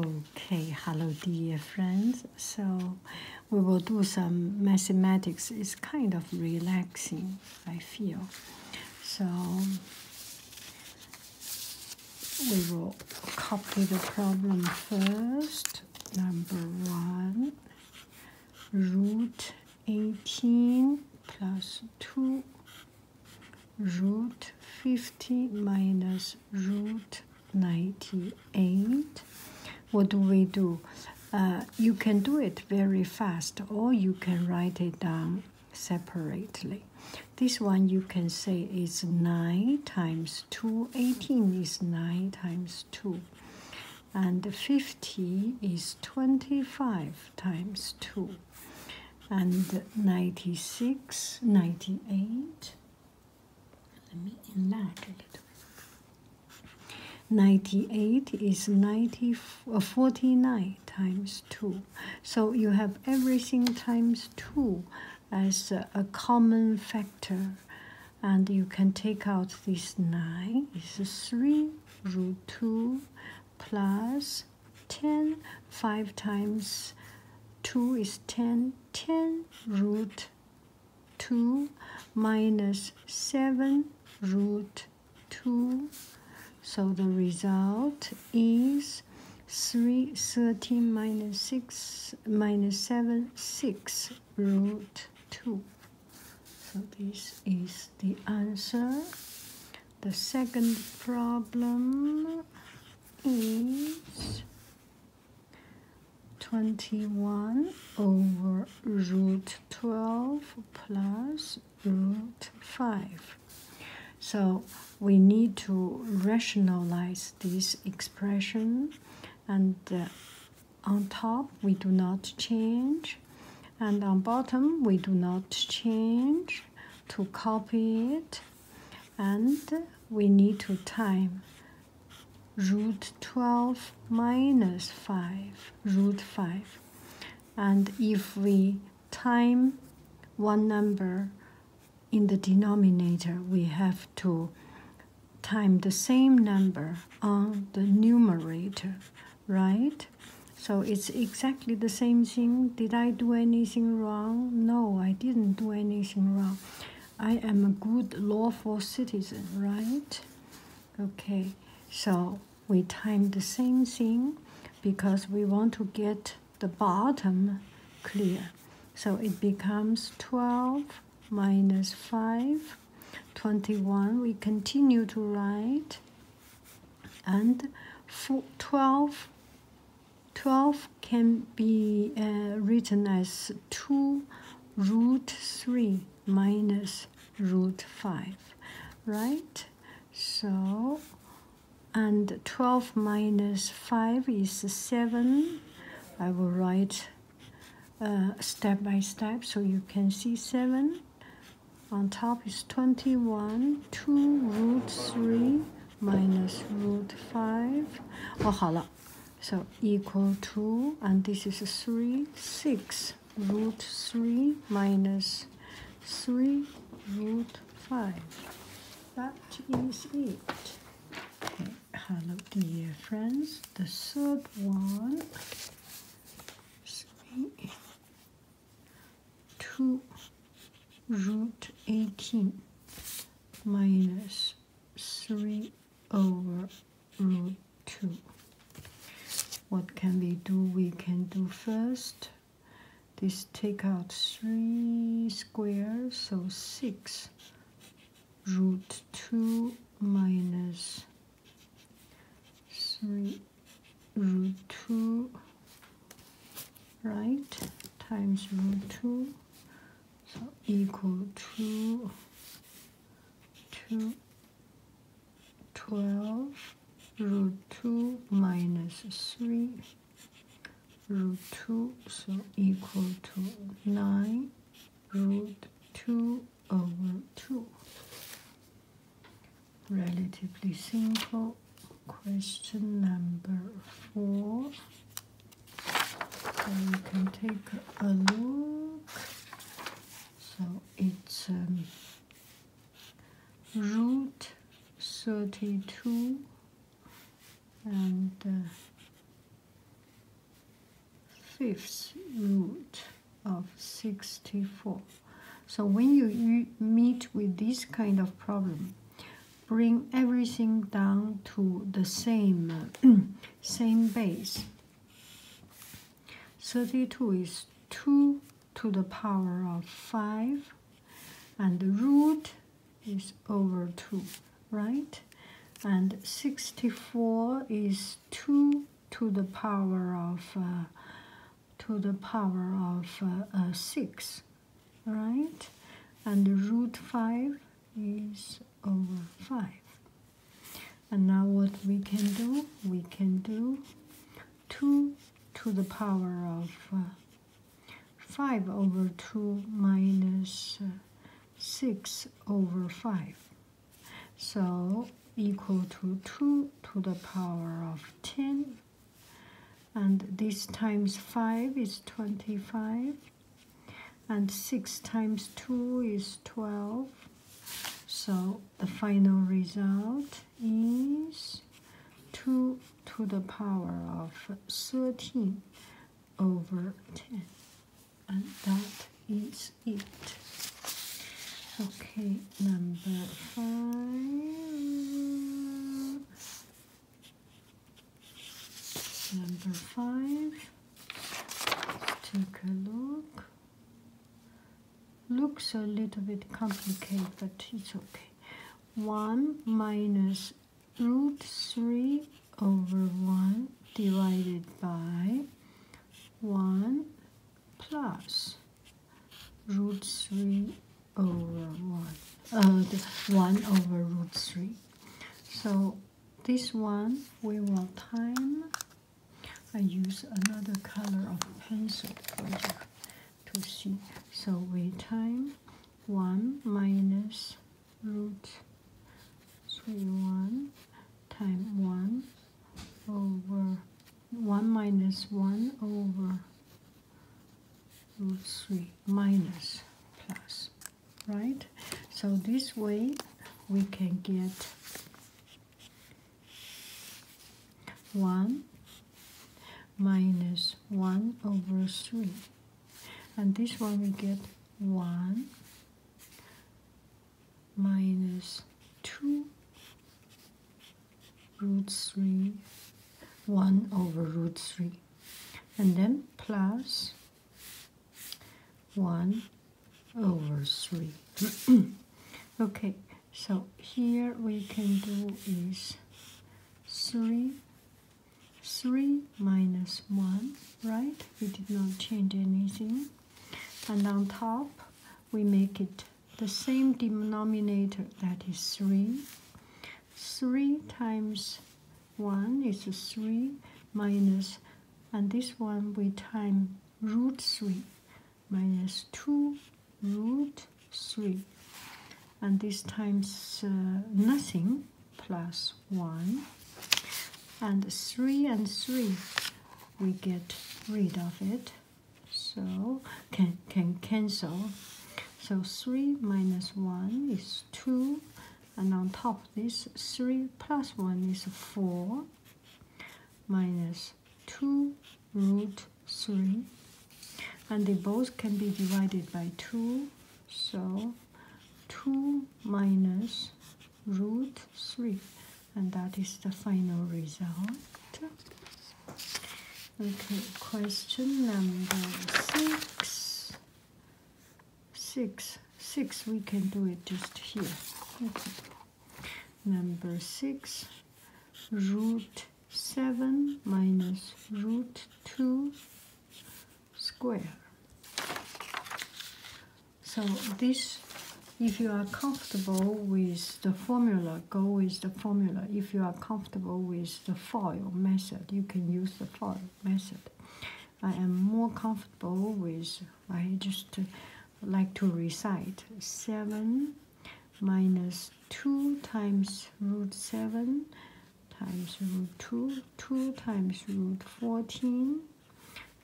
Okay, hello dear friends. So we will do some mathematics. It's kind of relaxing, I feel. So we will copy the problem first. Number one, root 18 plus 2 root 50 minus root 98 what do we do uh, you can do it very fast or you can write it down separately this one you can say is 9 times 2 18 is 9 times 2 and 50 is 25 times 2 and 96 98 98 is 90, uh, 49 times 2. So you have everything times 2 as a, common factor. And you can take out this 9. It's 3 root 2 plus 10. 5 times 2 is 10 10 root 2 minus 7 root 2. So the result is three 6 minus 7, 6 root 2. So this is the answer. The second problem is 21 over root 12 plus root 5. So we need to rationalize this expression and uh, on top we do not change and on bottom we do not change to copy it and we need to time root 12 minus 5 root 5 and if we time one number in the denominator we have to time the same number on the numerator right so it's exactly the same thing did I do anything wrong? No, I didn't do anything wrong. I am a good, lawful citizen, right? Okay, so we time the same thing because we want to get the bottom clear. So it becomes 12 minus 5, 21. We continue to write. And 12 12 can be uh, written as 2 root 3 minus root 5, right? So, and 12 minus 5 is 7. I will write uh, step by step so you can see 7. On top is 21, 2 root 3 minus root 5 oh 好了 so equal to and this is 3 6 root 3 minus 3 root 5 that is it hello dear friends the third one three, two root 18 minus 3 over root 2. What can we do? We can do first this take out 3 squares, so 6 root 2 minus 3 root 2 right times root 2 so equal to two twelve root two minus three root two so equal to nine root two over two relatively simple question number four. So you can take a look. So it's um, root 32 and uh, fifth root of 64. So when you meet with this kind of problem, bring everything down to the same same base 32 is 2 to the power of 5 and the root is over 2 right and 64 is 2 to the power of uh, to the power of uh, uh, 6 right? And the root 5 is over 5. And now what we can do? We can do 2 to the power of uh, 5 over 2 uh, 6 over 5. So equal to 2 to the power of 10 and this times 5 is 25 and 6 times 2 is 12 so the final result is 2 to the power of 13 over 10 and that is it okay number 5 Number 5 take a look. Looks a little bit complicated, but it's okay. 1 minus root 3 over 1 divided by 1 plus root 3 over 1, uh, this 1 over root 3. So this one we will time. I use another color of pencil to see. So we time 1 minus root 3 1 time 1 over 1 minus 1 over root 3 minus plus, right? So this way we can get 1 minus 1 over 3. And this one we get 1 minus 2 root 3, 1 over root 3 and then plus 1 over 3. okay, so here we can do is 3, 3 minus 1, right? We did not change anything. And on top, we make it the same denominator, that is 3. 3 times 1 is 3 minus, and this one we time root 3 minus 2 root 3. And this times uh, nothing plus 1. And 3 and 3, we get rid of it. So can, can cancel. So 3 minus 1 is 2 and on top this 3 plus 1 is 4 minus 2 root 3 and they both can be divided by 2 so 2 minus root 3 and that is the final result okay question number 6 six six we can do it just here number six root seven minus root two square so this if you are comfortable with the formula, go with the formula. If you are comfortable with the FOIL method, you can use the FOIL method. I am more comfortable with, I just like to recite 7 minus 2 times root 7 times root 2, 2 times root 14,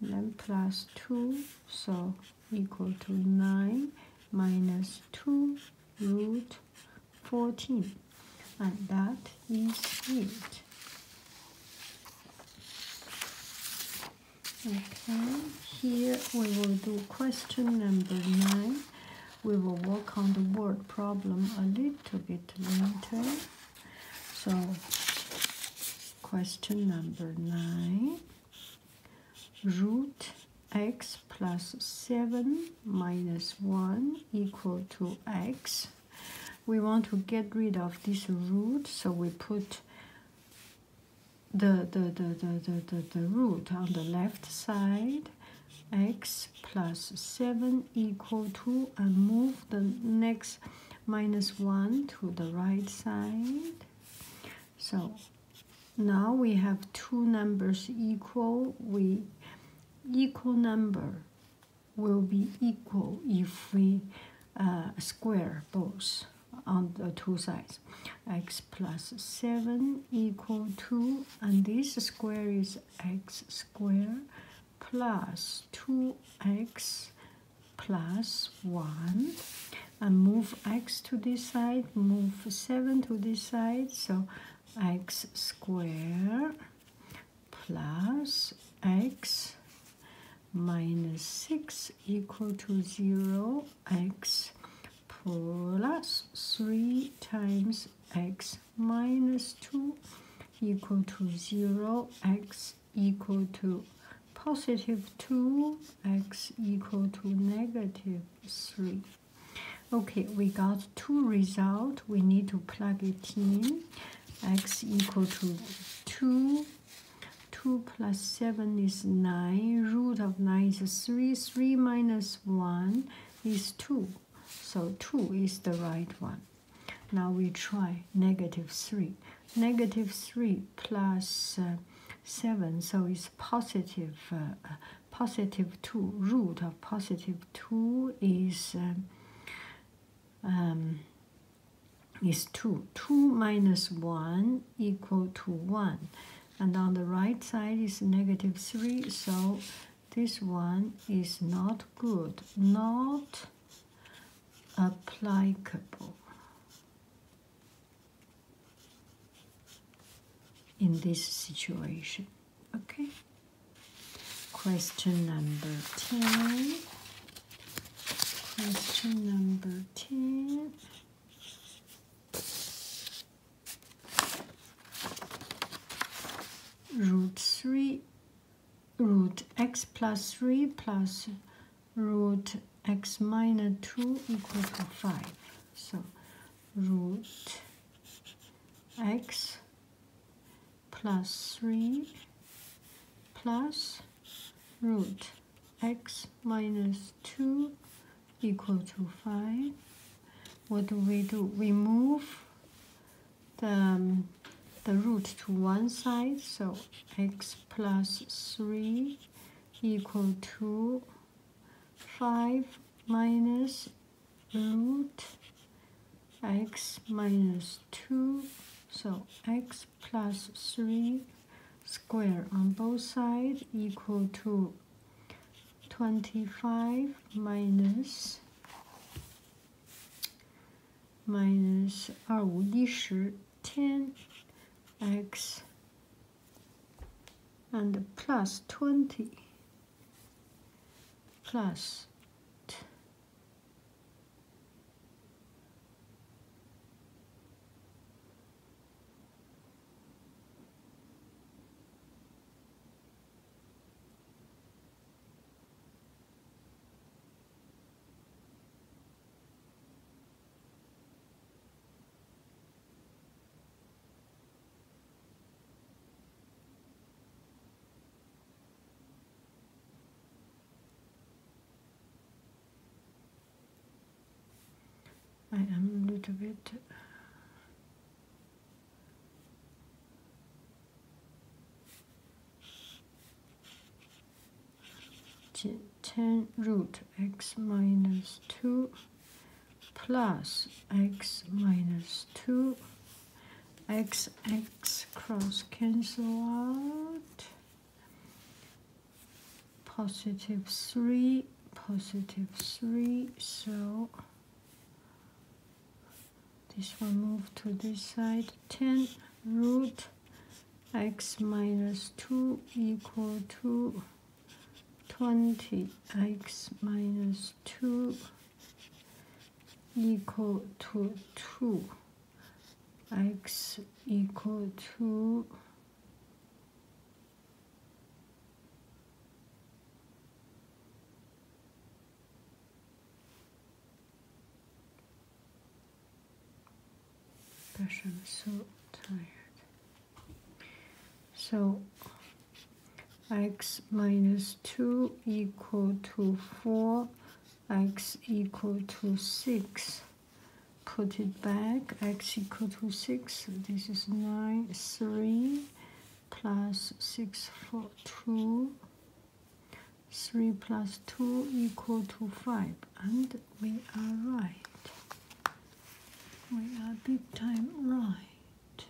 then plus 2, so equal to 9 minus 2 root 14 and that is it okay here we will do question number nine we will work on the word problem a little bit later so question number nine root x plus 7 minus 1 equal to to x we want to get rid of this root so we put the, the, the, the, the, the, the root on the left side x plus 7 equal to and move the next minus 1 to the right side so now we have two numbers equal we equal number will be equal if we uh, square both on the two sides. x plus 7 equal two, and this square is x square plus 2x plus 1. And move x to this side, move 7 to this side, so x square plus x minus 6 equal to 0 x plus 3 times x minus 2 equal to 0 x equal to positive 2 x equal to negative 3 Okay, we got two results. We need to plug it in. X equal to 2. 2 plus 7 is 9. Root of 9 is 3. 3 minus 1 is 2. So 2 is the right one. Now we try negative 3. Negative 3 uh, 7. So it's positive. Uh, positive 2 root of positive 2 is um, um, is 2 2 minus 1 equal to 1 and on the right side is negative 3 so this one is not good not applicable in this situation Okay. Question number 10. Question number 10. Root 3, root x plus 3 plus root x minus 2 equals 5. So root x plus 3 plus root x minus 2 equal to 5. What do we do? We move the, um, the root to one side, so x plus 3 equal to 5 minus root x minus 2, so x plus 3 square on both sides equal to 25 minus minus 二五一十10 x and plus 20 plus I am a little bit uh, ten root x minus two plus x minus 2 x x cross cancel out positive 3 positive 3 so this one move to this side 10 root x minus 2 equal to 20 x minus 2 equal to 2 x equal to I'm so tired. So x minus 2 equal to 4 x equal to 6 put it back x equal to 6 this is 9 3 plus 6 4 2 3 plus 2 equal to 5 and we are right we are big time right